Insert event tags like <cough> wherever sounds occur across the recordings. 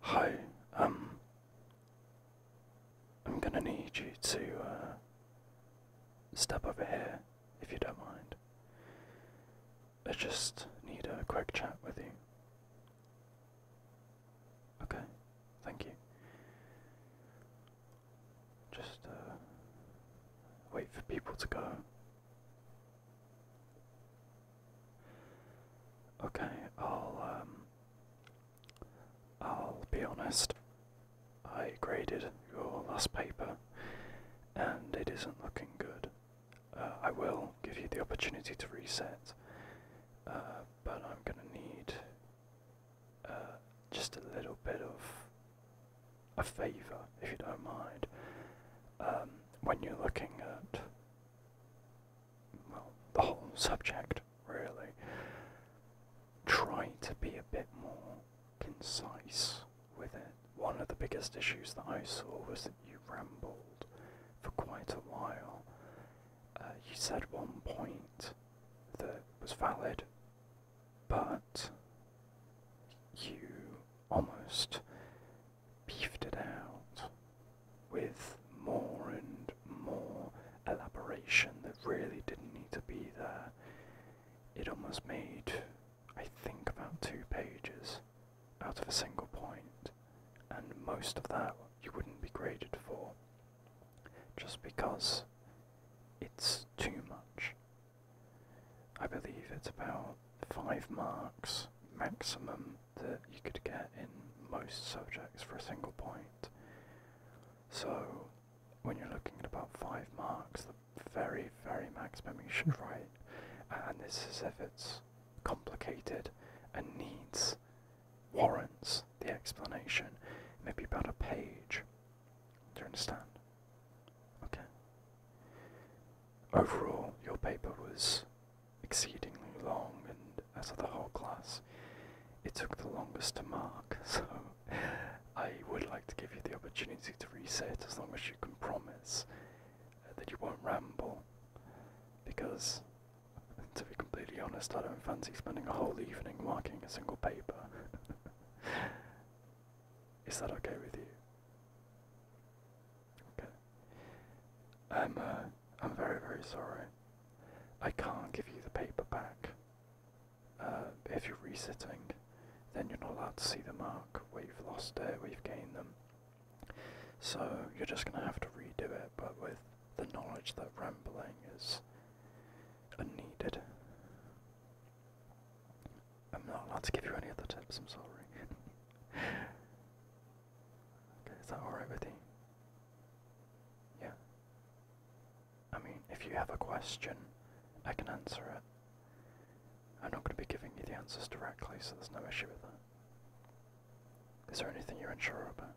Hi, um, I'm gonna need you to uh, step over here if you don't mind. I just need a quick chat with you. Okay, thank you. Just uh, wait for people to go. Okay, I'll um, I'll be honest. I graded your last paper and it isn't looking good. Uh, I will give you the opportunity to reset, uh, but I'm going to need uh, just a little bit of a favour, if you don't mind. Um, when you're looking at well, the whole subject, really. Try to be a bit more concise with it. One of the biggest issues that I saw was that you rambled for quite a while. Uh, you said one point that was valid, but you almost beefed it out with more and more elaboration that really didn't need to be there. It almost made, I think, about two pages out of a single point, and most of that you wouldn't be graded for just because it's too much. I believe it's about five marks maximum that you could get in most subjects for a single point. So, when you're looking at about 5 marks, the very, very maximum you should write, and this is if it's complicated and needs, warrants the explanation, maybe about a page. Do you understand? Okay. Overall, your paper was exceedingly long, and as of the whole class, it took the longest to mark, <laughs> so I would like to give you the opportunity to reset as long as you can promise uh, that you won't ramble, because <laughs> to be completely honest, I don't fancy spending a whole evening marking a single paper. <laughs> Is that okay with you? Okay. I'm um, uh, I'm very very sorry. I can't give you the paper back. Uh, if you're resitting, then you're not allowed to see the mark where you've lost it, we have gained them. So you're just gonna have to redo it, but with the knowledge that rambling is unneeded. I'm not allowed to give you any other tips, I'm sorry. <laughs> okay, is that alright with you? Yeah. I mean, if you have a question, I can answer it. I'm not going to be giving you the answers directly, so there's no issue with that. Is there anything you're unsure about?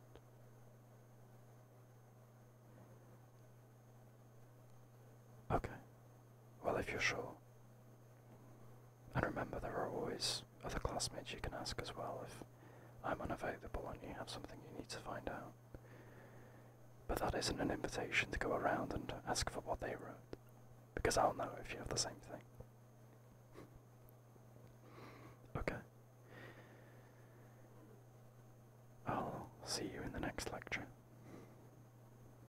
Okay. Well, if you're sure. And remember, there are always other classmates you can ask as well if I'm unavailable and you have something you need to find out. But that isn't an invitation to go around and ask for what they wrote, because I'll know if you have the same thing. okay. I'll see you in the next lecture.